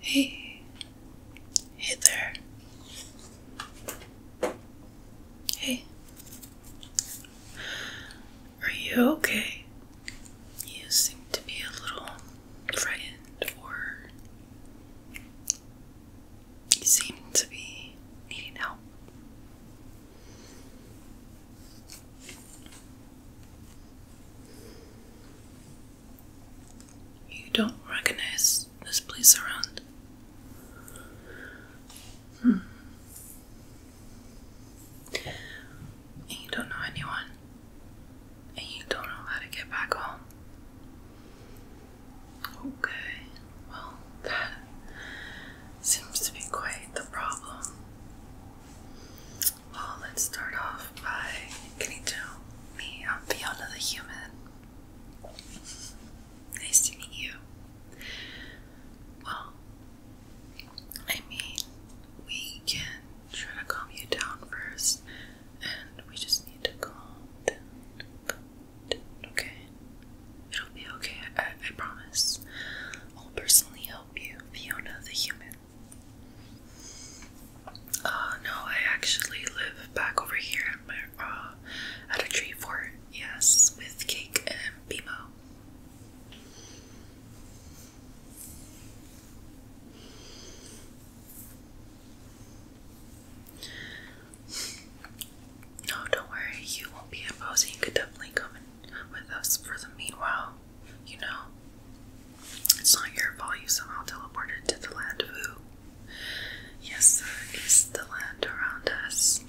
Hey, hey there. Hey, are you okay? You seem to be a little frightened or you seem to be needing help. You don't recognize this place around. Hmm. you don't know anyone and you don't know how to get back home. Okay, well, that seems to be quite the problem. Well, let's start off by getting to me. I'm Fiona the Human. Nice to meet you. Well, I mean, we can try to calm you down first, and we just need to calm down, okay? It'll be okay, I, I promise. I'll personally help you, Fiona the human. Uh, no, I actually live back over here uh, at a tree fort, yes, with Cake and Bimo. No, don't worry, you won't be imposing. You could definitely come in with us for the meanwhile, you know. It's not your fault you somehow teleported to the land of who? Yes, the land around us.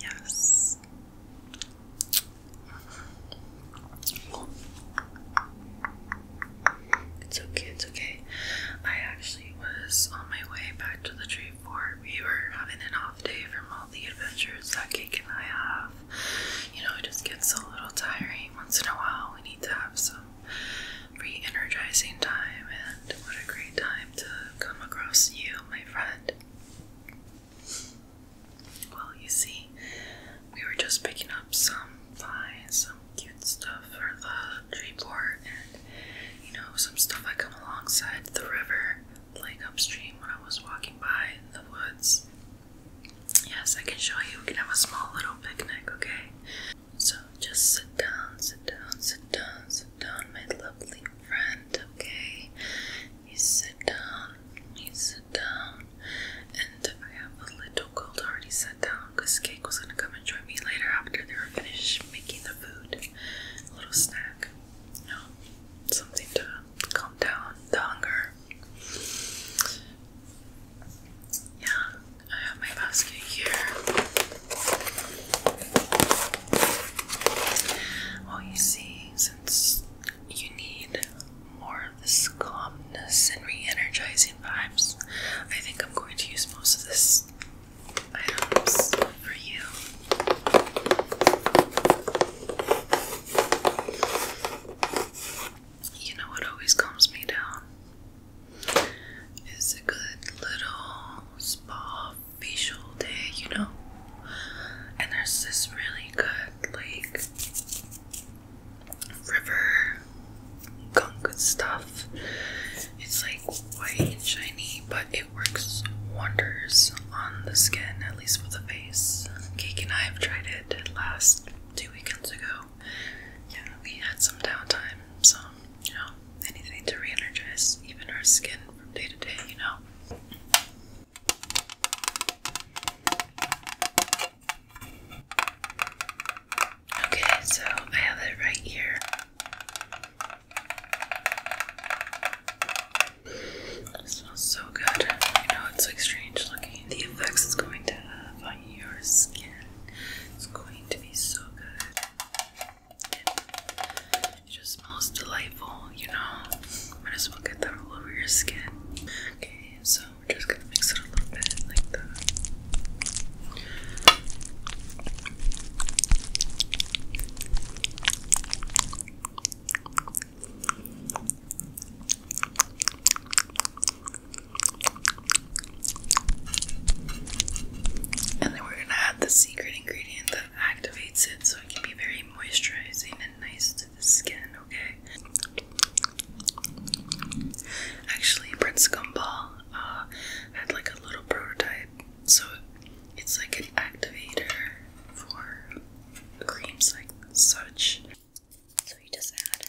Yes. It's okay, it's okay. I actually was on my way back to the tree fort. We were having an off day from all the adventures that Cake and I have. You know, it just gets a little tiring once in a while. We need to have some re energizing time, and what a great time to come across you, my friend. Well, you see, we were just picking up some vines, some cute stuff for the tree port, and you know, some stuff I come alongside the river, like upstream when I was walking by in the woods. Yes, I can show you. We can have a small little picnic, okay? So just sit down, sit down, sit down, sit down, my lovely friend, okay? You sit down, you sit down, and I have a little cold already sat down because Cake was gonna come and join me later after they were finished making the food. A little snack, you know, something to calm down the hunger. Yeah, I have my basket here. Well, you see, since you need more of this calmness and re-energizing vibes. I think I'm going to use most of this items for you. You know what always calms me down is a good little spa facial day, you know? And there's this really good, like, river gunk stuff. It's like white and shiny, but it works wonders on the skin, at least for the face. Cake and I have tried it last two weekends ago. Yeah, we had some downtime, so you know, anything to reenergize even our skin from day to day, you know. Okay, so I have it right here. smells so good. I know it's like strange looking. The effects it's going to on your skin is going to be so good. It just smells delightful, you know. Might as well get that all over your skin. Okay, so we're just gonna mix it a little bit And then we're gonna add the secret ingredient that activates it so it can be very moisturizing and nice skin, okay? Actually, Prince Gumball uh, had like a little prototype, so it's like an activator for creams like such. So you just add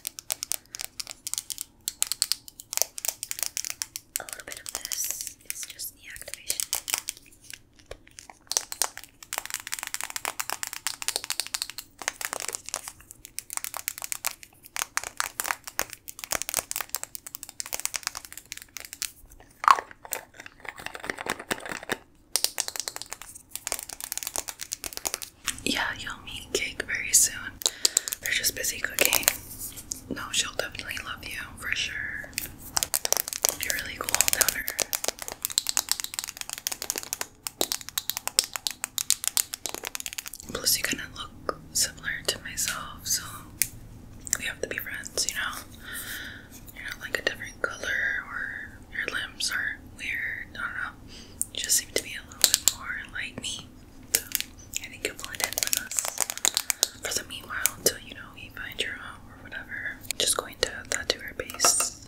a little bit of this, it's just the activation. Yeah, you'll meet Cake very soon. They're just busy cooking. No, she'll definitely love you for sure. You're really cool, Downer. Plus, you kind of look similar to myself, so we have to be friends, you know? You're like a different color, or your limbs are weird. I don't know. just seem to be a little bit more like me. So I think you'll blend in with us. For the meanwhile, until you know you find your home or whatever, just going to tattoo her base.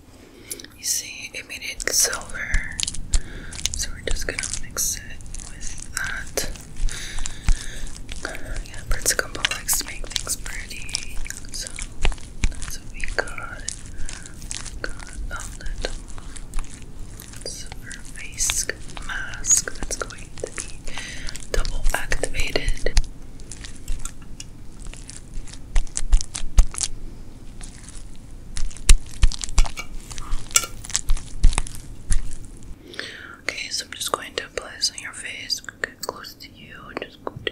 You see, it made it silver. So we're just gonna mix it with that. Yeah, Pritzcombo likes to make things pretty. So we got. got a little silver face mask that's going to be double activated. Okay, so I'm just going to apply this on your face, okay, close to you, just go to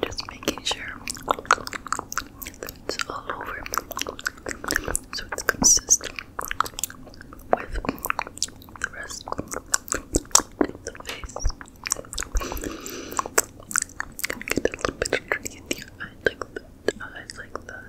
Just making sure it's all over so it's consistent with the rest of the face. Gonna get a little bit dirty the eyes like that, eyes like that.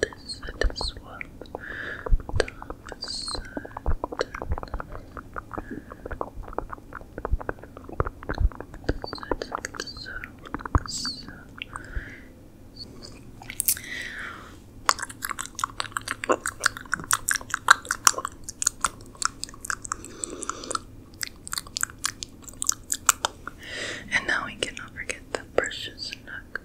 This is what Thomas said. And now we cannot forget the precious nook.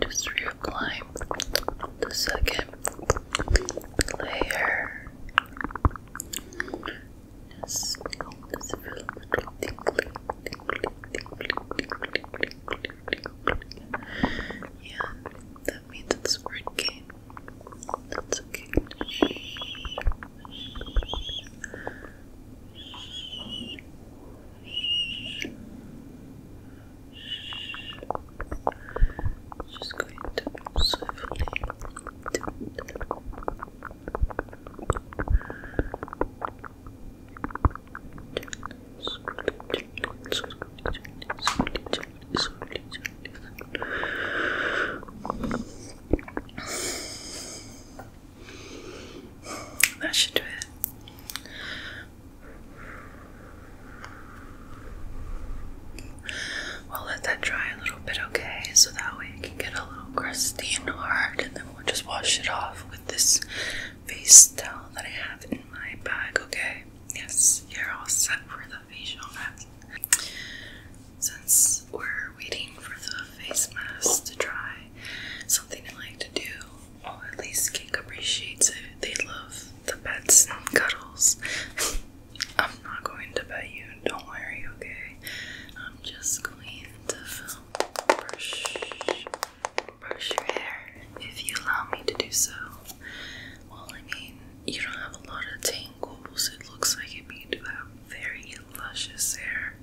Just reapply the second layer. Just this feel tingly, tingly, tingly, tingly, tingly, tingly. Yeah, that means it's working. That's okay. Just going to swiftly do it. Gently, gently, gently, slowly, slowly. That should do it. we let that dry a little bit, okay? So that way it can get a little crusty and hard, and then we'll just wash it off with this face towel that I have in my bag, okay? Yes, you're all set for the the facial mask. Since we're waiting for the face mask to dry, something I like to do, well at least Cake appreciates it, they love the pets and cuddles. I'm not going to pet you, don't worry, okay? I'm just going to brush, brush your hair if you allow me to do so. Well, I mean, you don't have a lot of tangles. It looks like it, but you do have very luscious hair.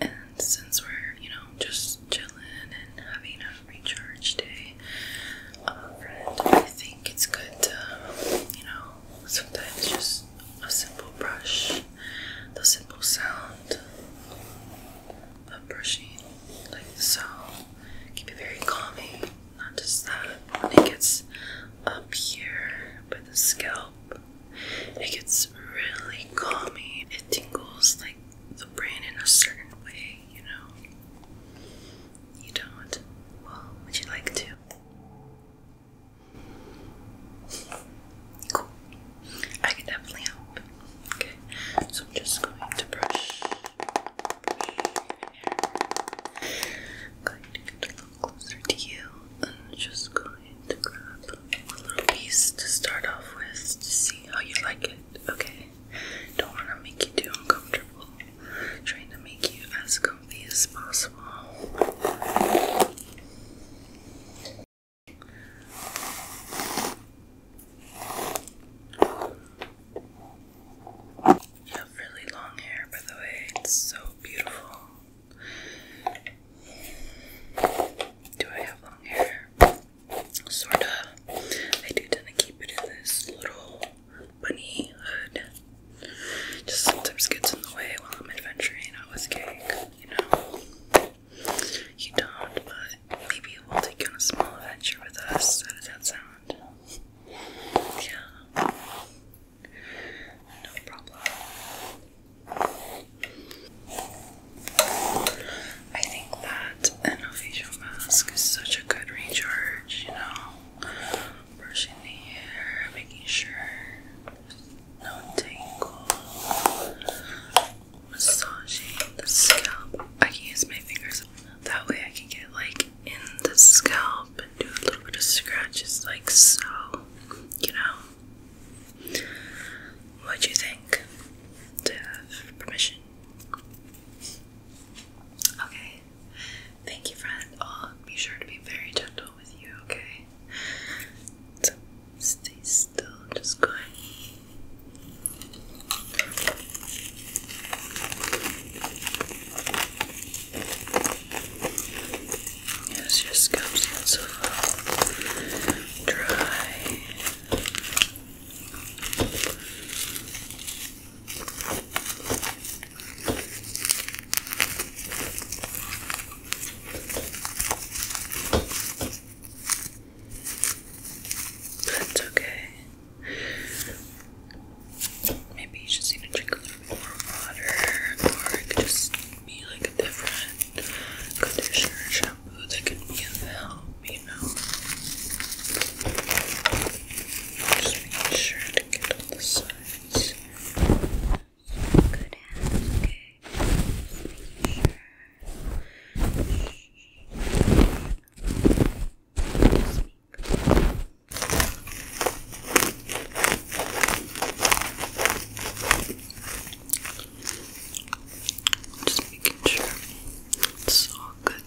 And since we're, you know, just chilling and having a recharge day, um, I think it's good to, you know, sometimes just a simple brush, the simple sound of brushing, like so, can be very calming not just that, it gets up here by the scalp. It gets really calming. It tingles like the brain in a certain way, you know. You don't? Well, would you like to? Cool. I can definitely help. Okay, so I'm just going to brush I'm going to get a little closer to you and just going to grab a little piece to start off with to see how you like it, okay? Don't want to make you too uncomfortable. trying to make you as comfy as possible. Okay. You have really long hair, by the way. It's so beautiful. Do I have long hair? Sort of. I do tend to keep it in this little bunny hood. Just sometimes gets in the way while I'm adventuring out with cake, you know? You don't, but maybe we'll take on a small adventure with us. How does that sound? Yeah. No problem. I think that an facial mask is such a good recharge, you know. Brushing the hair, making sure no tingle, massaging the scalp. I can use my fingers that way I can get like in the scalp and do a little bit of scratches like so, you know. What do you think? To have permission. Okay. Thank you, friend. I'll be sure to be very gentle with you, okay? stay still. I'm just Yes, your scalp's not so dry. That's okay. Maybe you just need drink a little bit more water, or it could just be like a different conditioner shampoo that could be of help, you know. Just making sure to get all the sides. okay. Just making just making sure it's all good.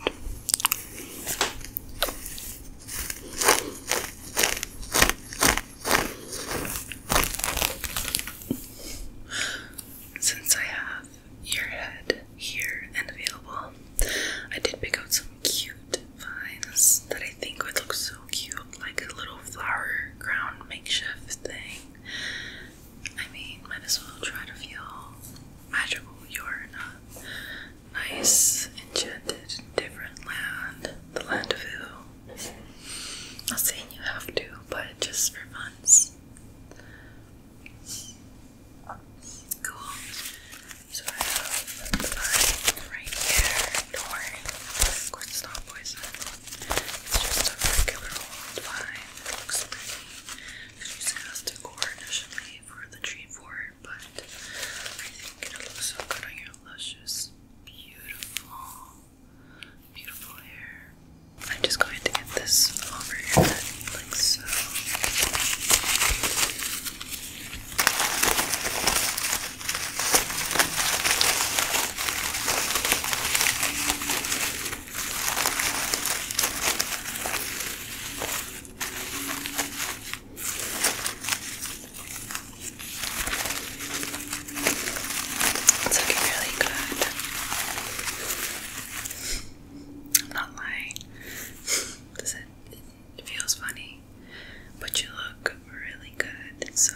Since I have your head here and available. I did pick out some cute vines that I think would look so cute, like a little flower crown makeshift thing. I mean, might as well try to feel magical. You're in a nice, enchanted, different land, the land of who? Not saying you have to, but just for fun. So I have mine right here. Don't worry. Of it's just a regular old vine. looks pretty. It's using as decor initially for the tree fort, but I think it'll look so good on your luscious, beautiful, beautiful hair. I'm just going to get this over here like so. It's looking really good. I'm not lying. Does it, feels funny, but you look really good. So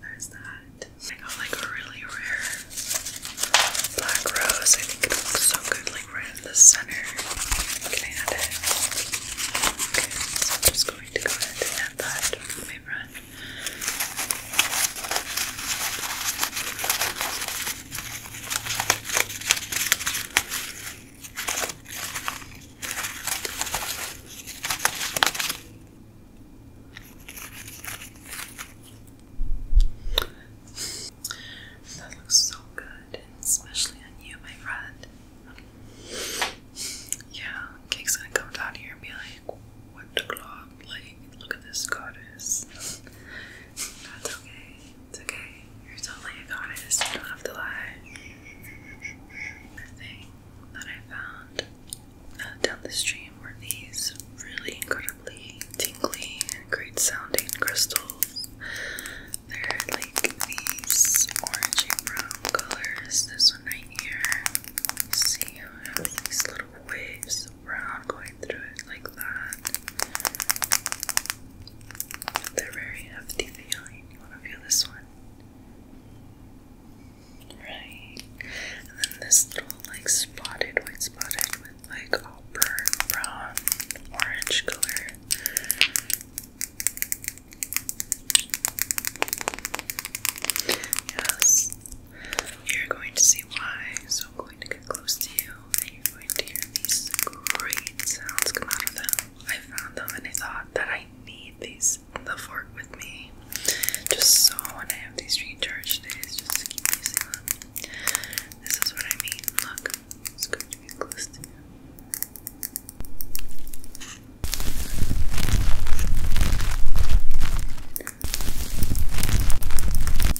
there's that. I got like a really rare black rose. I think it looks so good, like right in the center. Can I add it? Okay, so I'm just going to go ahead and add that with my brush. That looks so good, especially on you, my friend. Yeah, Cake's gonna come down here and be like, What the glob? Like, look at this goddess. That's okay. It's okay. You're totally a goddess. You don't have to lie. The thing that I found uh, down the stream were these really incredibly tingly and great sounding crystals. They're like these orangey brown colors. This one right here. see how it has these little waves we're not going through it like that. They're very hefty feeling. You want to feel this one? Right. And then this little like spotted, white spotted with like all burnt brown, orange color. Yes. You're going to see why, so I'm going to get close to you you're going to hear these great sounds come out of them. I found them and I thought that I need these the fork with me. Just so when I have these recharged days, just to keep using them. This is what I mean. Look, it's going to be close to you.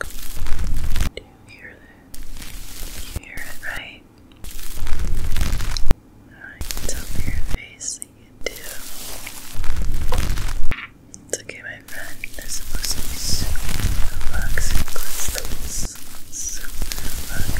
Do you hear that? hear it, right? I can tell by your face that you do. It's okay, my friend. They're supposed to be super relaxing crystals. Super relaxing.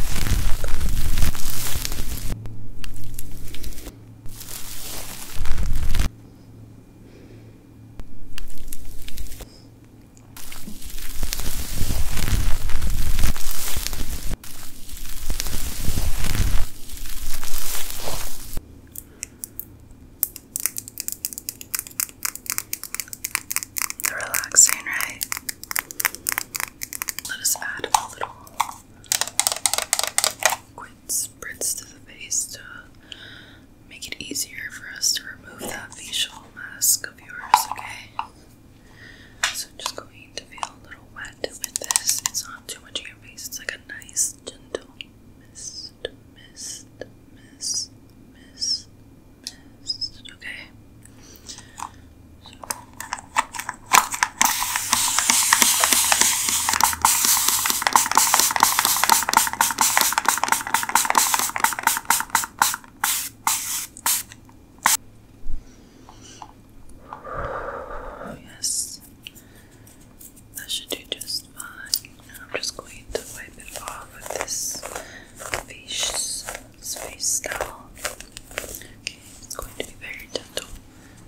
The relaxing, right? Let us add a little quick spritz to the face make it easier for us to remove that facial mask of yours, okay? So I'm just going to feel a little wet with this. It's not too much of your face. It's like a nice, gentle mist, mist, mist, mist, mist. Okay. So. Oh, yes, that should do just fine. I'm just going to wipe it off with this face space towel. Okay, it's going to be very gentle.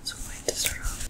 So I'm going to start off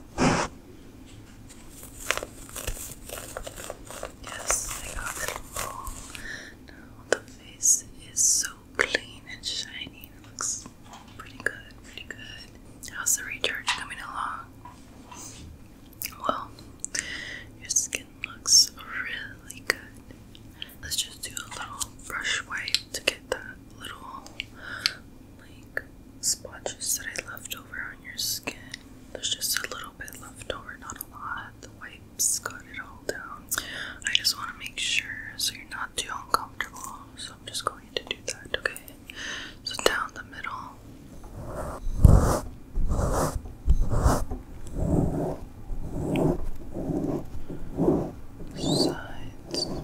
Yes, I got it all. Now the face is so clean and shiny. It looks pretty good, pretty good. How's the recharge coming along? Well, your skin looks really good. Let's just do a little brush wipe to get that little like splotches that I left over on your skin. There's just a little bit left over, not a lot. The wipes got it all down. I just want to make sure so you're not too uncomfortable. So I'm just going to do that, okay? So down the middle. Sides.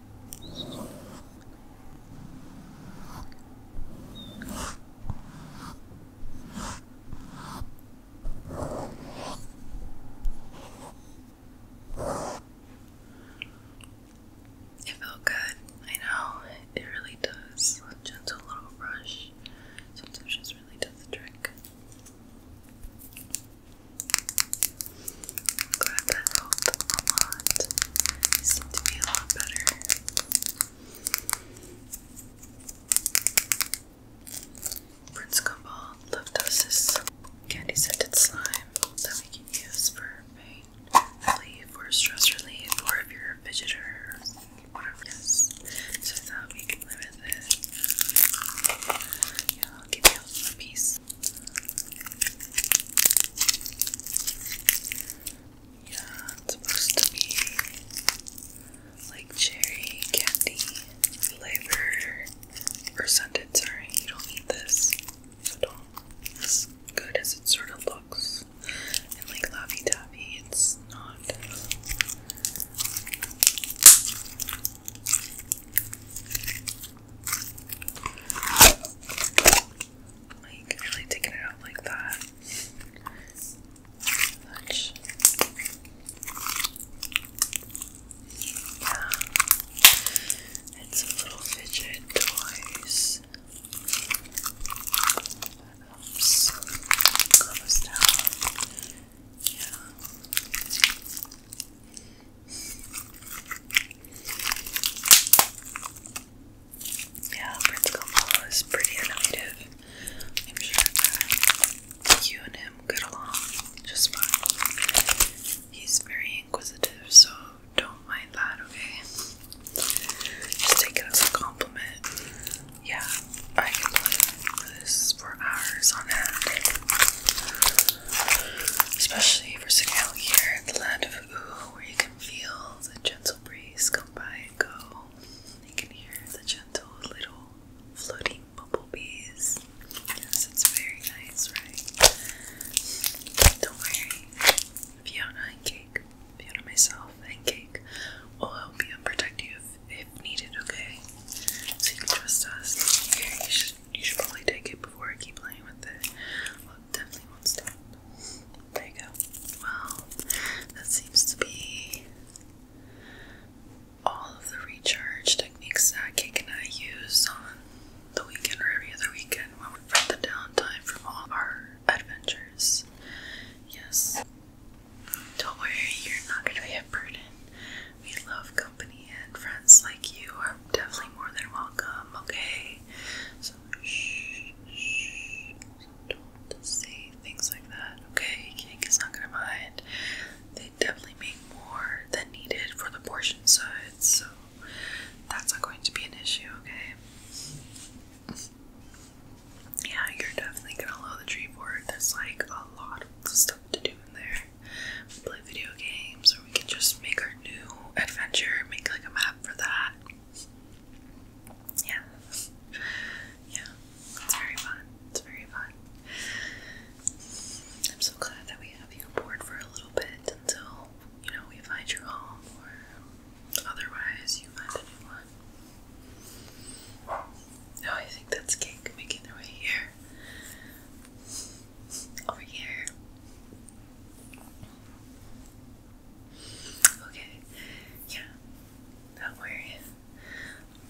It felt good. I know it really does. A gentle little brush sometimes just really does the trick. I'm glad that helped a lot. I seem to be a lot better. Prince Gumball left us this candy scented slime that we can use for pain relief or stress relief or if you're a fidgeter Yes. So I thought we could limit this. I'll give you a piece. Yeah, supposed to be like cherry candy flavor or scented. Sorry, you don't need this at all. As good as it sort of looks, and like lappy taffy, it's not. Like, really taking it out like that. Much. Yeah. And some little fidget toys. That helps calm us down. Yeah. Yeah, Prince Kamal is pretty innovative. I'm sure that and him get along just fine. He's very inquisitive, so don't mind that, okay? Just take it a compliment. Yeah, I can play for hours on end especially if you're sitting out here in the land of Ooh, where you can feel the gentle breeze come by and go. You can hear the gentle little floating bumblebees. Yes, it's very nice, right? Don't worry, Fiona and Cake, Fiona, myself, and Cake will help you and protect you if, needed, okay? So trust us you should probably take it before I keep playing with it. Well, definitely won't stop. There you go. Well, that seems to be all of the recharge techniques that Cake and I use on the weekend or every other weekend when we've got the downtime from all our adventures. Yes. Don't worry, you're not gonna be a We love company and friends like you are definitely more than welcome, okay? So, shh, don't say things like that, okay? Cake is not gonna mind. They definitely make more than needed for the portion size, so that's not going to be an issue, okay? Yeah, you're definitely gonna load the tree board. There's like a lot of stuff to do in there play video games, or we can just make our new adventure, make like a map for that. Yeah. Yeah. It's very fun. It's very fun. I'm so glad that we have you aboard for a little bit until, you know, we find your home or otherwise you find a new one. Now oh, I think that's cake making their way here over here. Okay, yeah, don't worry.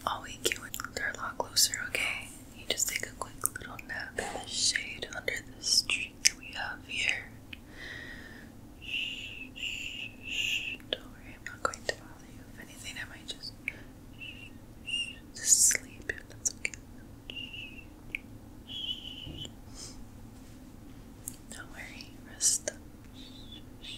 I'll wake you with her a lot closer, okay? You just take a quick little nap in the shade under this tree we have here. Shh, shh, shh. Don't worry, I'm not going to bother you. If anything, I might just just sleep, that's okay. Don't rest up.